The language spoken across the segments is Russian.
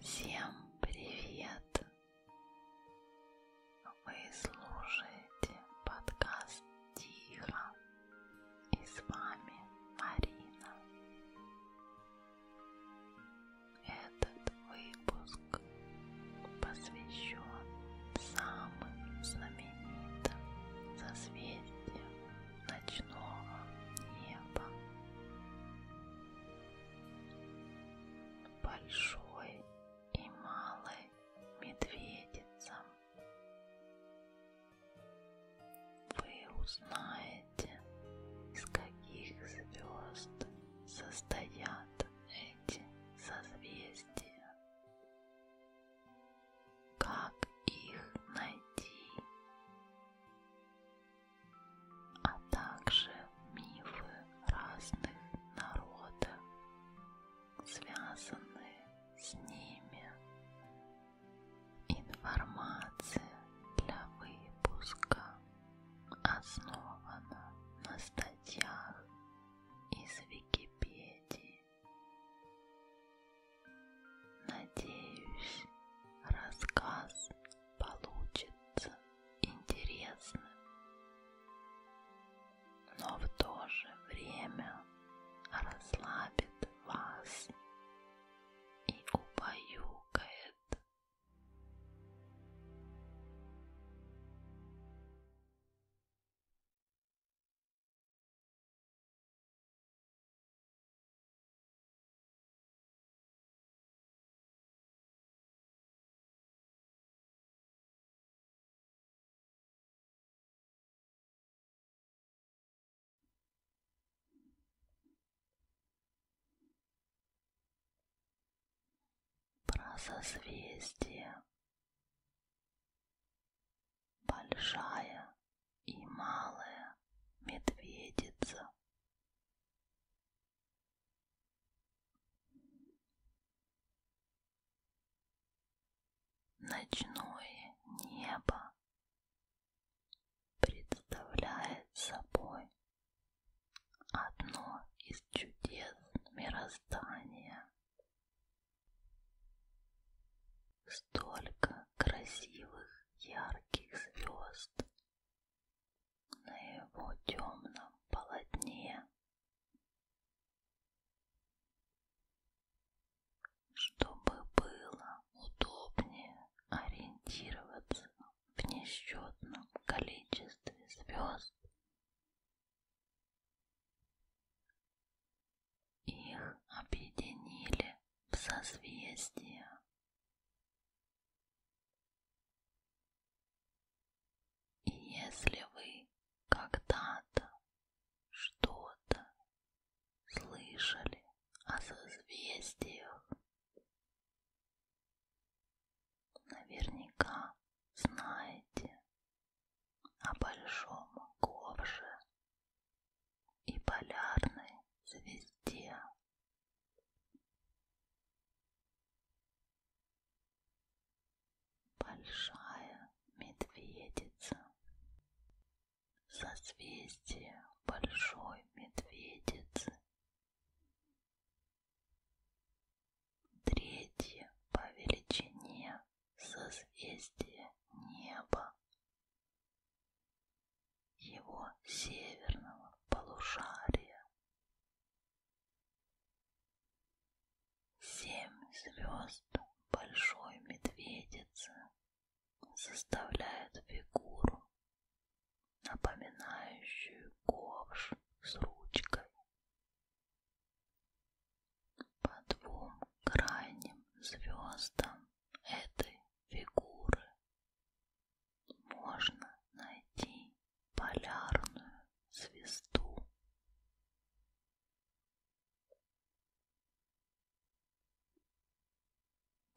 Всем привет! Вы слушаете подкаст Тихо и с вами Марина. Этот выпуск посвящен самым знаменитым созвездиям ночного неба. Большой и малый медведица. Вы узнаете, из каких звезд состоят эти созвездия. Как их найти? А также мифы разных народов, связанные с ними. Информация для выпуска основана на статьях из Википедии Надеюсь, рассказ получится интересным, но в то же время расслабит вас и убаюкает про созвездие большая и малая медведица. Ночное небо представляет собой одно из чудес мироздания столько красивых ярких звезд на его темном полотне, чтобы было удобнее ориентироваться в несчетном количестве звезд. Их объединили в созвездие. И если вы когда-то что-то слышали о созвездиях, наверняка знаете о большом ковше и полярной звезде. Большая медведица. Созвездие большой медведицы. Третье по величине созвездие неба его северного полушария. Семь звезд большой медведицы составляют фигуру, напоминающую ковш с ручкой. По двум крайним звездам этой фигуры можно найти полярную звезду.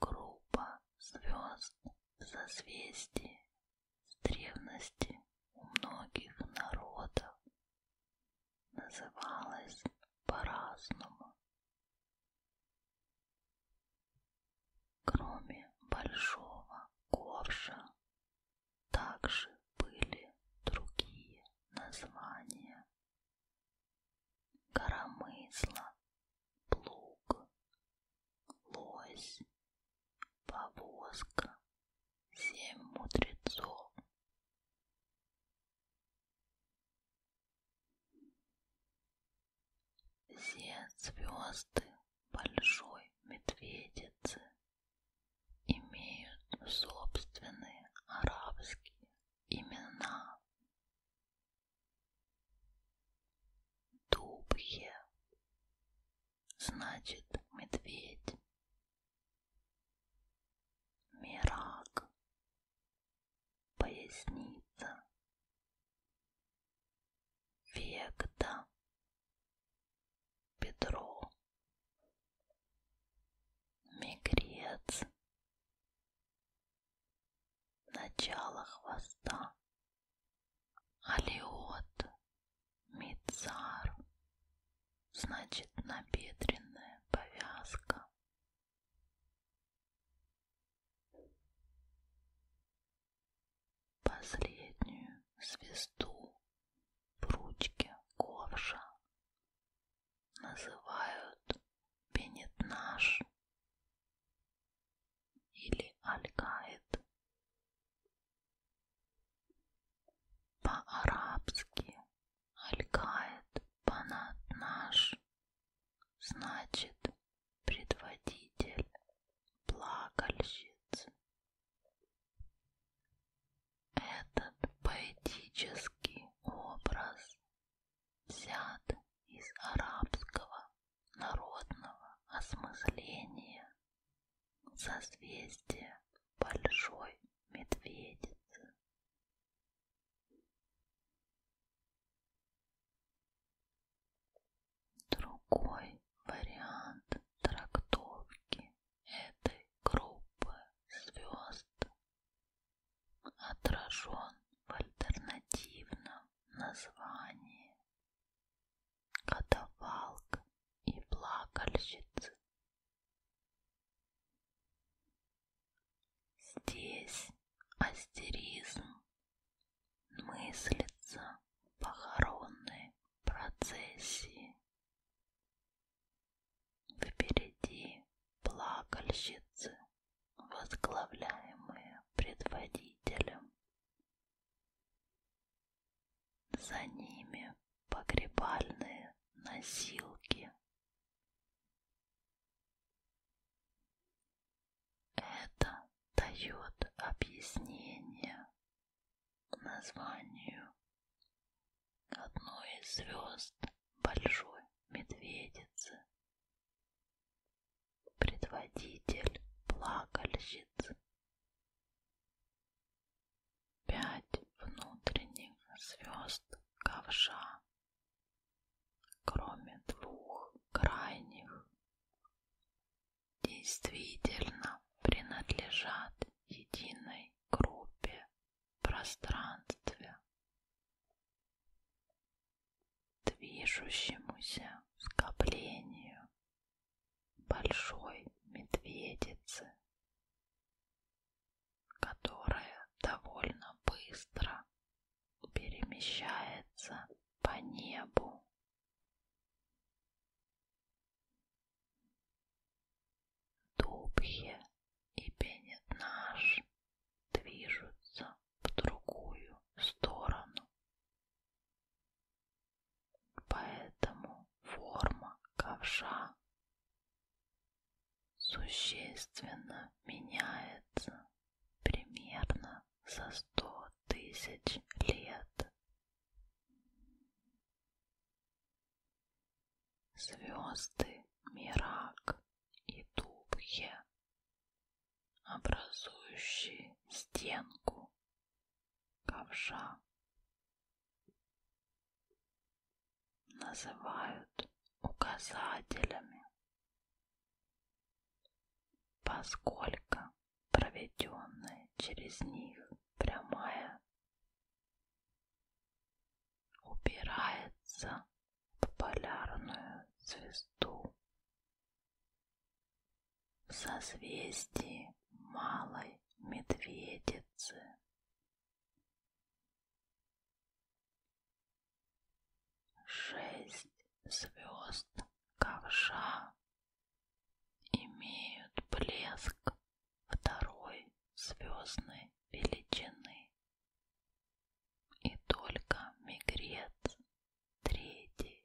Группа звезд в созвездии с древности у многих народов называлась по-разному. Кроме большого ковша также были другие названия. Коромысло, плуг, лось, повозка, семь мудрецов. Все звезды большой медведицы имеют собственные арабские имена. Дубхе значит медведь. Мирак поясница, векта, бедро, мигрец, начало хвоста, алиот, мицар, значит набедренная повязка, Последнюю звезду в ручке ковша называют пенетнаж или алькаид. По-арабски Алькает панат наш, значит, предводитель плакальщиц. Этот поэтический образ взят из арабского народного осмысления созвездия большой медведицы Другой вариант трактовки этой группы звезд отражен в альтернативном названии «Катавалк и плакальщицы Здесь астеризм мыслится похоронной процессии. Впереди плакальщицы, возглавляемые предводителем. За ними погребальные носилки это дает объяснение названию одной из звезд Большой Медведицы. Предводитель плакальщиц. Пять внутренних звезд ковша кроме двух крайних, действительно принадлежат единой группе пространстве, движущемуся скоплению большой медведицы которая довольно быстро перемещается по небу. Дубье и пенетнаж движутся в другую сторону, поэтому форма ковша существенно меняется примерно за сто тысяч лет. Звезды Мирак и Дубхе, образующие стенку ковша, называют указателями, поскольку проведенная через них прямая упирается в полярную звезду в созвездии Малой Медведицы Шесть звезд ковша имеют блеск второй звездной величины, и только мигрец третий.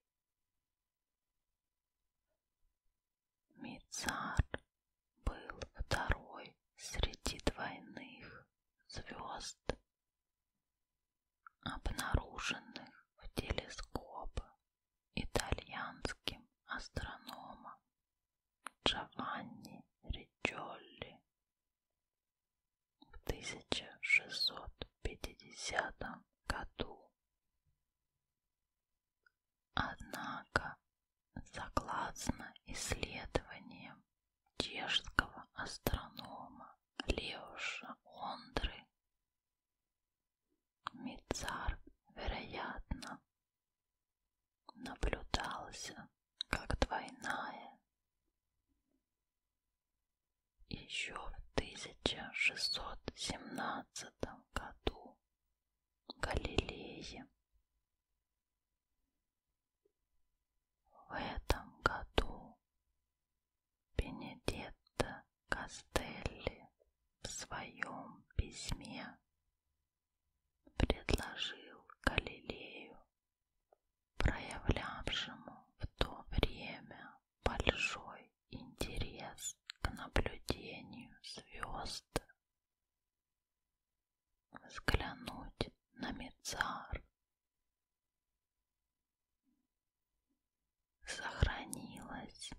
Мицар был второй среди двойных звезд, обнаруженных в телескоп итальянским астрономом Джованни Ричолли в 1650 году. Однако, согласно исследованиям чешского астронома Леуша Ондры, Мицар, вероятно, наблюдался как двойная еще в 1617 году Галилеем в этом году Бенедетта Кастелли в своем письме предложил Галилею, проявлявшему в то время большой интерес к наблюдению звезд, взглянуть на Мицар. Сохранилось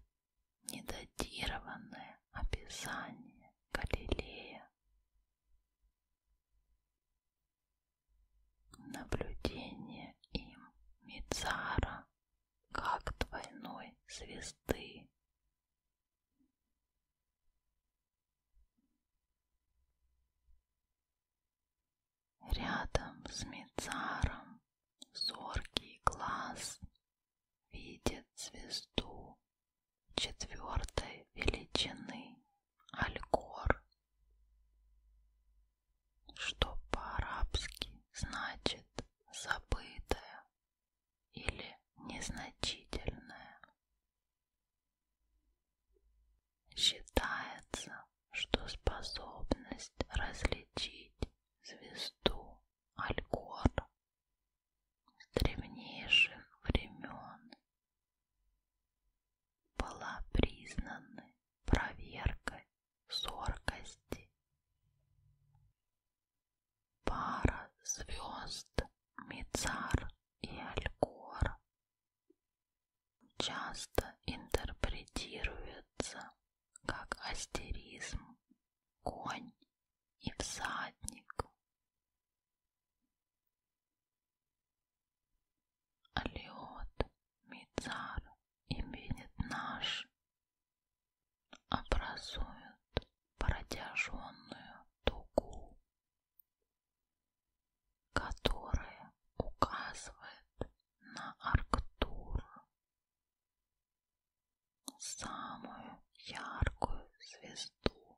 недатированное описание Галилея. Наблюдение им Мицара как двойной звезды Рядом с Мицаром зоркий глаз видит звезду четвертой величины Алькор, что по-арабски значит «забытая или незначительное. Считается, что способность различить звезду Алькор с древнейших времен была признана проверкой зоркости Пара звезд Мицар и Алькор часто интерпретируется как астеризм, конь и всадник. Алиот, Мицар и Бенетнаш образуют протяженную дугу, которая указывает на Арктур, самую яркую звезду,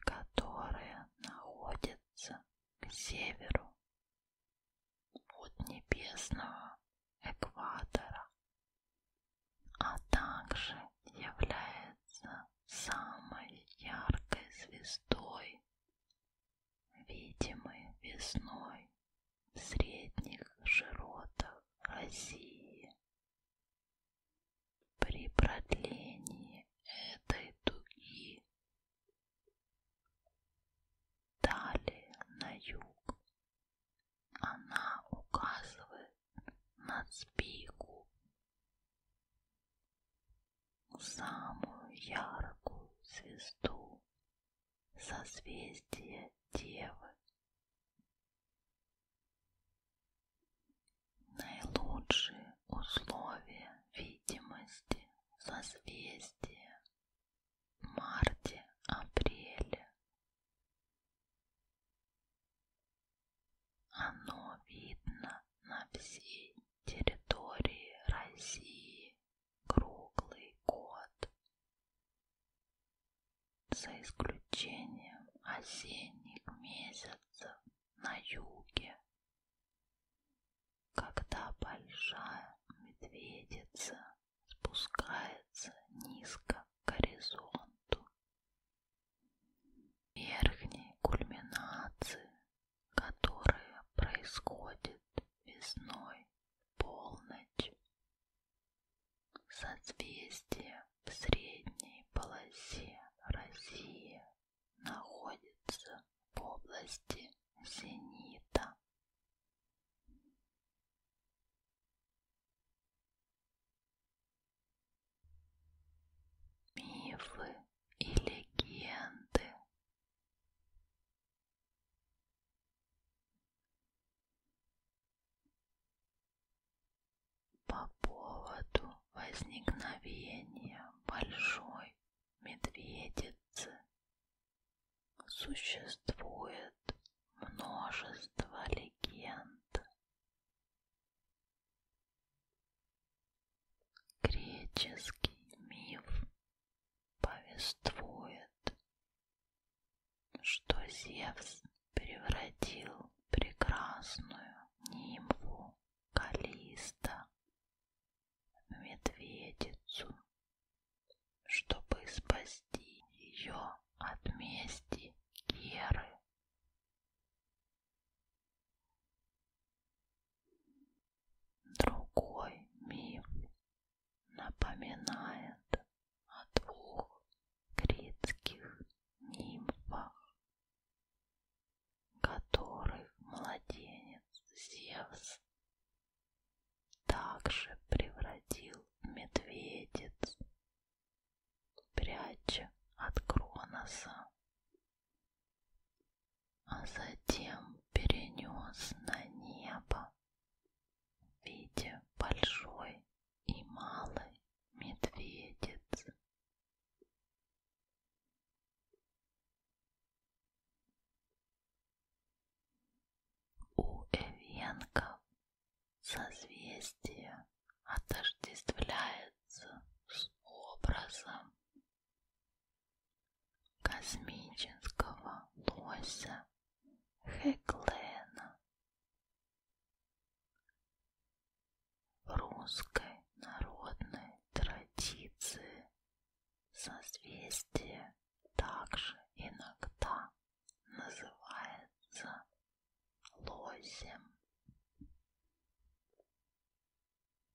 которая находится к северу от небесного экватора а также является самой яркой звездой, видимой весной в средних широтах России. При продлении этой дуги далее на юг она указывает на спику, самую яркую звезду созвездия Девы. Наилучшие условия видимости созвездия в марте-апреле оно видно на всей территории России круглый год, за исключением осенних месяцев на юге, когда большая медведица спускается низко к горизонту. Верхние кульминации, которые происходят весной полночь, созвездие в средней полосе России находится в области зенита Мифы и легенды. По поводу возникновения большой медведицы Существует множество легенд. Греческий миф повествует, что Зевс превратил прекрасную нимфу Калиста в медведицу чтобы спасти ее от мести Керы. Другой миф напоминает о двух критских нимфах, которых младенец Зевс также превратил медведец, пряча от Кроноса, а затем перенес на небо в виде большой и малой медведец. У Эвенков Созвездие отождествляется с образом космического лося Хеклена в русской народной традиции созвездие также иногда называется лосем.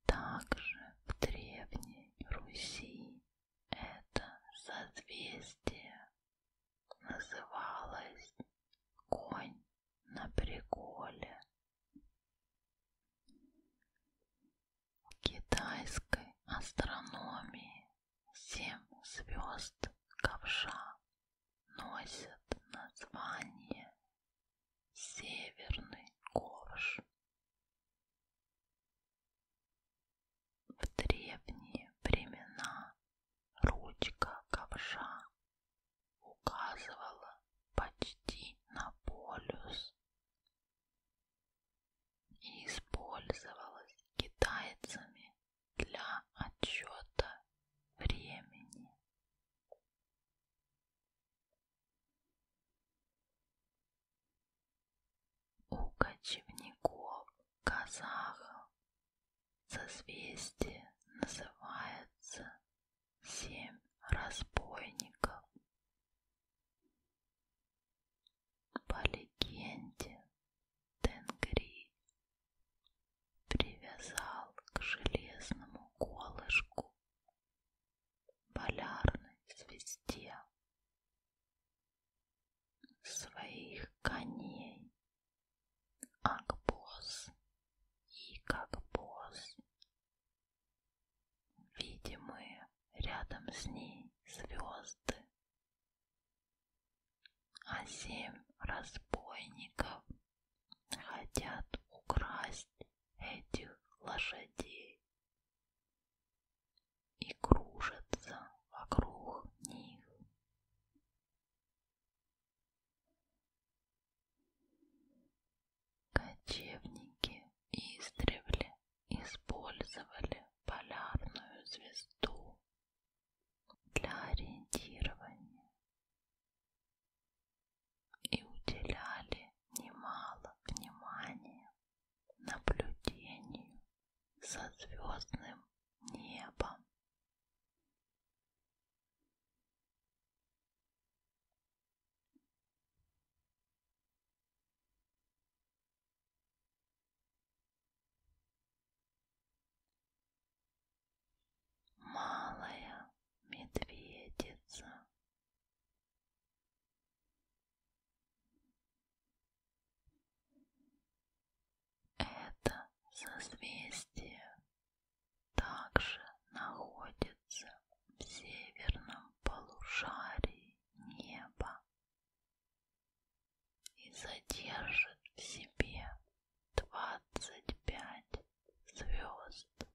Также в Древней Руси это созвездие называлось конь на приколе. В китайской астрономии семь звезд ковша носят название Северный ковш. В древние времена ручка ковша указывала почти на полюс и использовалось китайцами для отчета времени. У кочевников казахов созвездие называется семь разбойников. По легенде Тенгри привязал к железному колышку полярной звезде своих коней Акбос и Какбос, видимые рядом с ней звезды а семь разбойников хотят украсть этих лошадей и кружатся вокруг них. Кочевники истребли использовали полярную звезду для ориентирования и уделяли немало внимания наблюдению за звездным небом. Малая медведица. Это созвездие также находится в северном полушарии неба и содержит в себе двадцать пять звезд,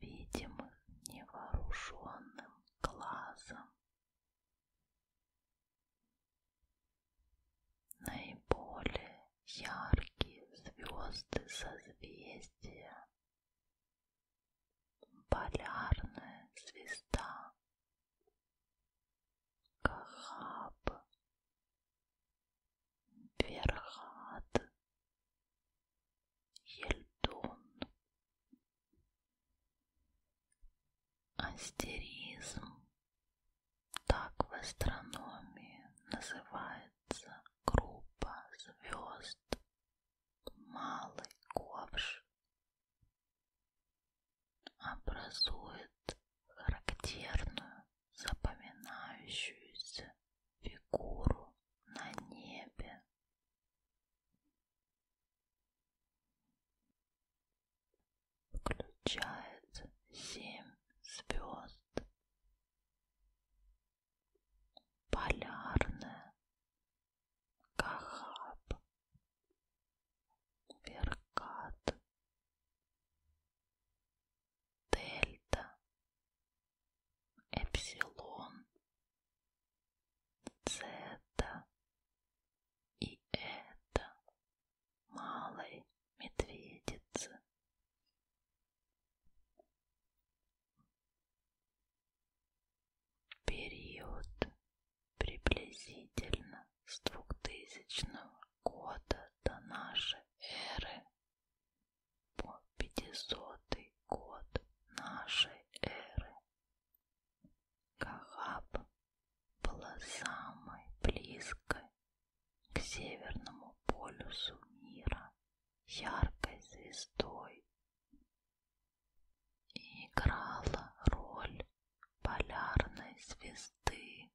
видимых невооруженным глазом. Наиболее яркие звезды созвездия полярная звезда, Кахаб, Верхат, Ельдун, астеризм, так в астрономии называется группа звезд, малый ковш образует характерную запоминающуюся фигуру на небе. Включает семь звезд. Полярная Кахаб, Веркат, Дельта, Эпсилон, Цета и это Малой Медведицы период приблизительно с 2000 года до нашей эры по 500 год нашей эры. Кахаб была самой близкой к северному полюсу мира, яркой звездой, и играла роль полярной звезды,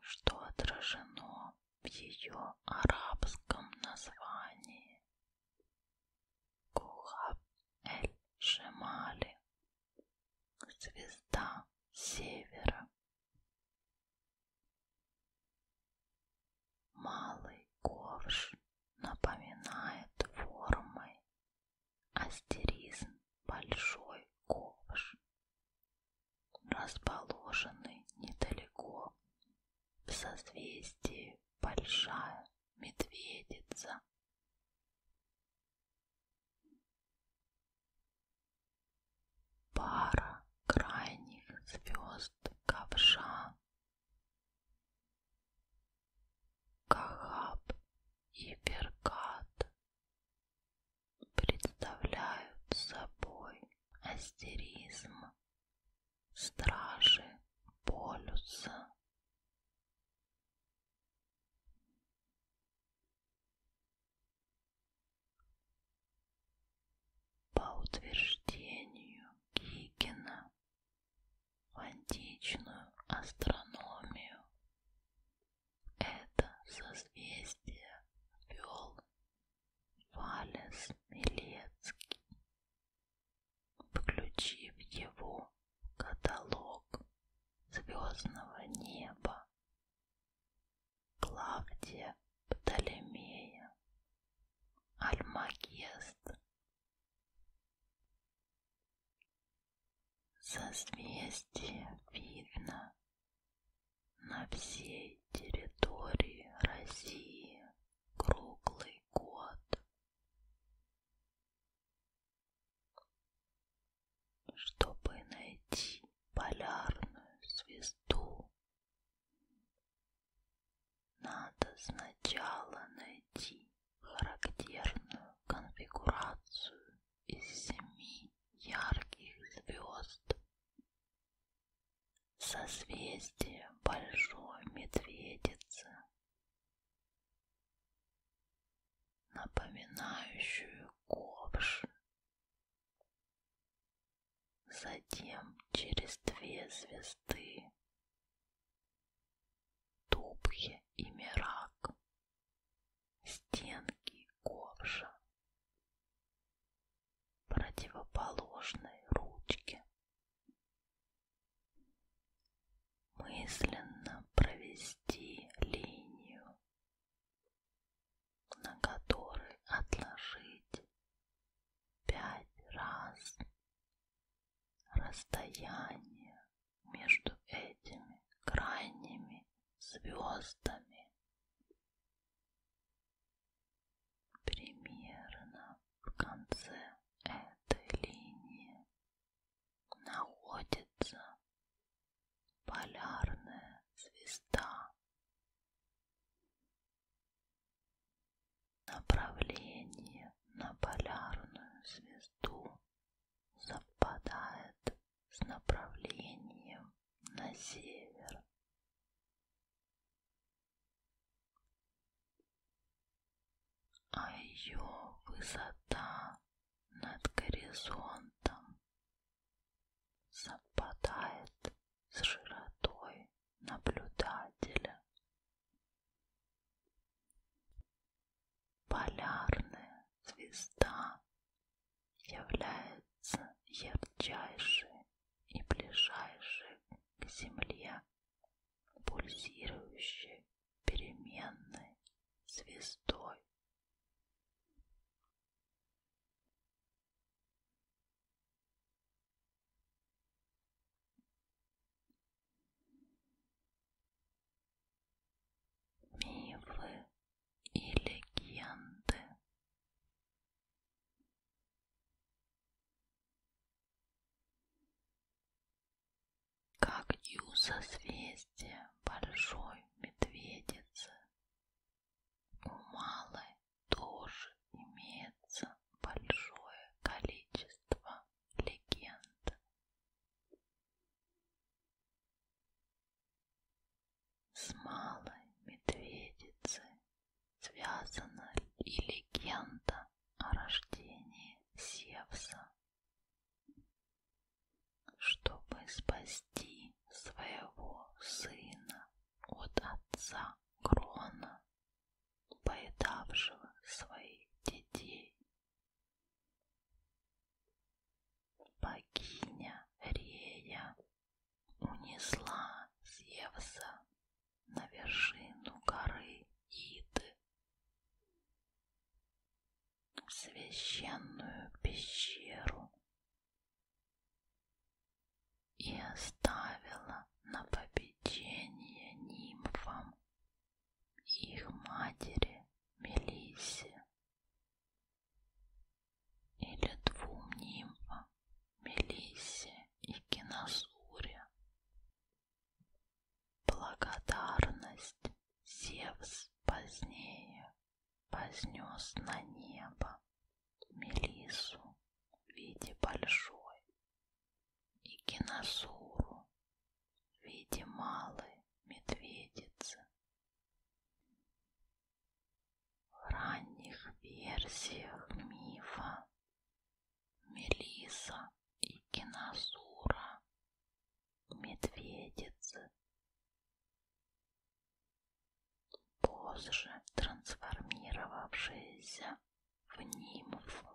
что отражено в ее арабском названии Кухаб эль-Шемали, звезда севера. Малый ковш напоминает формой астеризм большой ковш, расположенный недалеко в созвездии Большая Медведица. Пара крайних звезд ковша Кахаб и Беркат представляют собой астеризм стражи полюса. По утверждению Кикина в античную астрономию. Это созвездие вел Валес Милецкий, включив его в каталог звездного неба Клавдия Птолемея Альмагест Созвездие видно на всей территории России круглый год. Чтобы найти полярную звезду, надо сначала найти характерную конфигурацию из семи ярких звезд. Созвездие Большой Медведицы, напоминающую ковш. Затем через две звезды Тупхе и мирак, стенки ковша, противоположные ручки. Мысленно провести линию, на которой отложить пять раз Расстояние между этими крайними звездами примерно в конце этой линии находится полярная звезда. Направление на полярную звезду совпадает с направлением на север. А ее высота над горизонтом совпадает с широтой наблюдателя. Полярная звезда является ярчайшей и ближайшей к Земле пульсирующей переменной звездой. Мифы и легенды. Как ю созвездие большой медведицы у малой тоже имеется большое количество легенд. С малой медведицей связана и легенда о рождении Севса. Чтобы спасти своего сына от отца Крона, поедавшего своих детей. Богиня Рея унесла Зевса на вершину горы Иды, в священную пещеру, и оставила на попечение нимфам их матери Мелисе или двум нимфам Мелисе и Киносуре. Благодарность Зевс позднее вознес на небо Мелису в виде большой и киносуру в виде малой медведицы. В ранних версиях мифа Мелиса и киносура медведицы позже трансформировавшиеся в Нимфу.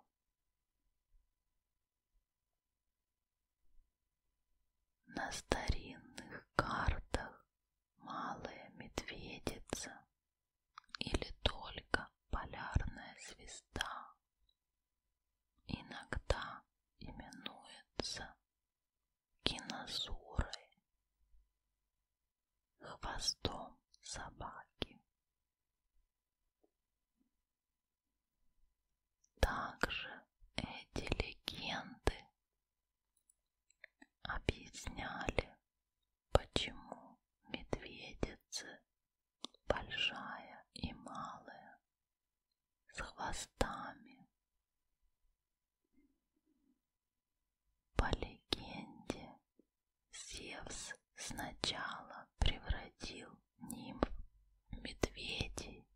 На старинных картах малая медведица или только полярная звезда иногда именуется кинозурой хвостом собаки. Также эти легенды объясняли, почему медведицы большая и малая с хвостами по легенде, Зевс сначала превратил нимф в медведей,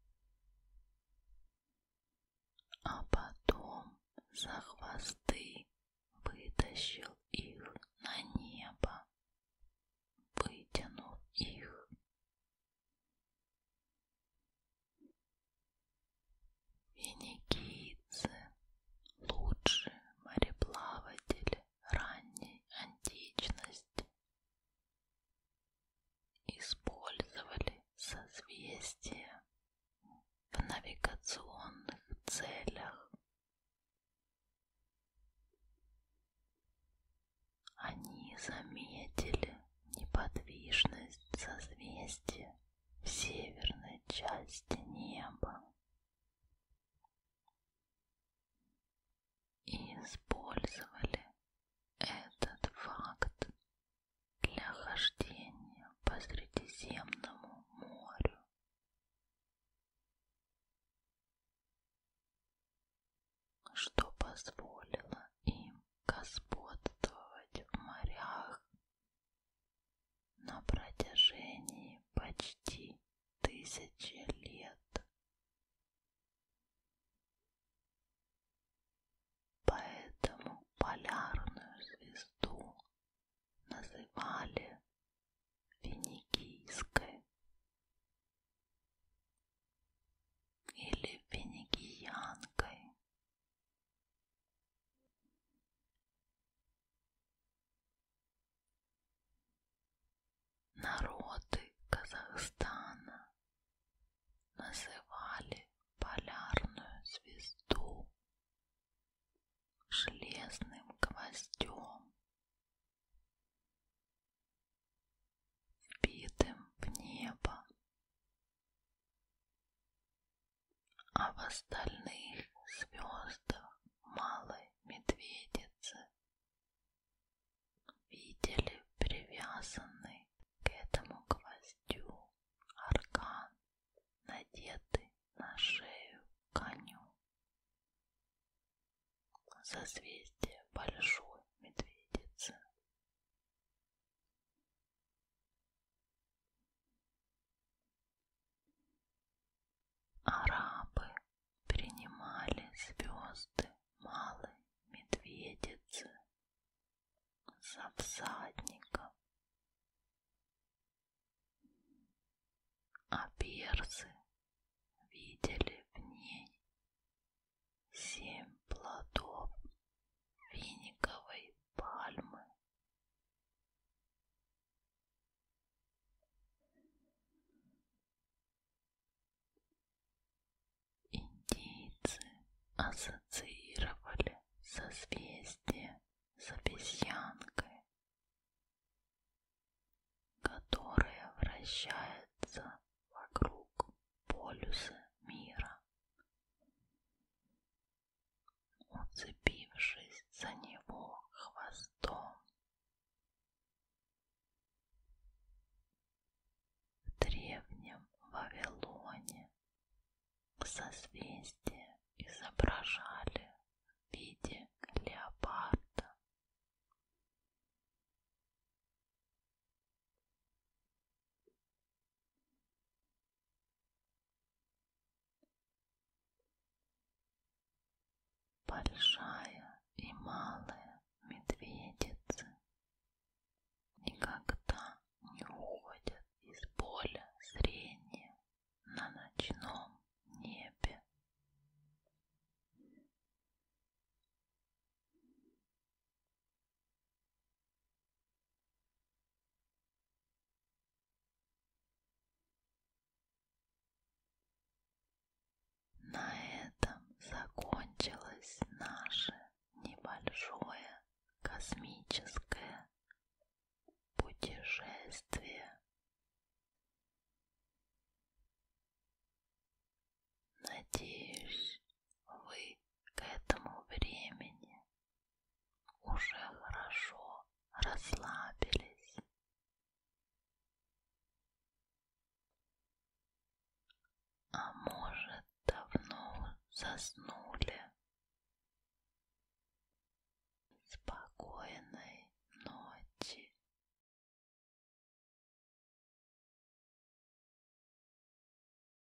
а потом за хвосты вытащил их на небо, вытянув их. Финикийцы – лучшие мореплаватели ранней античности. Использовали созвездие в навигационных целях. Они заметили неподвижность созвездия в северной части неба и использовали этот факт для хождения по Средиземному морю. что позволило им господствовать в морях на протяжении почти тысячи лет. Поэтому полярную звезду называли Финикийской или Финикиянкой Народы Казахстана называли полярную звезду железным гвоздем, вбитым в небо а в остальных звездах малой медведицы видели привязанный к этому гвоздю аркан, надетый на шею коню. Созвездие большой медведицы. Арабы принимали звезды малой медведицы за всадников, а персы видели в ней семь плодов финиковой пальмы. Индейцы ассоциировали созвездие с обезьянкой, которая вращается вокруг полюса мира уцепившись за него хвостом. В древнем Вавилоне созвездие изображали в виде леопарда. Большая и малая медведицы никогда не уходят из поля зрения на ночном небе. На этом закончилось наше небольшое космическое путешествие. Надеюсь, вы к этому времени уже хорошо расслабились. А может, давно заснули? Спокойной ночи.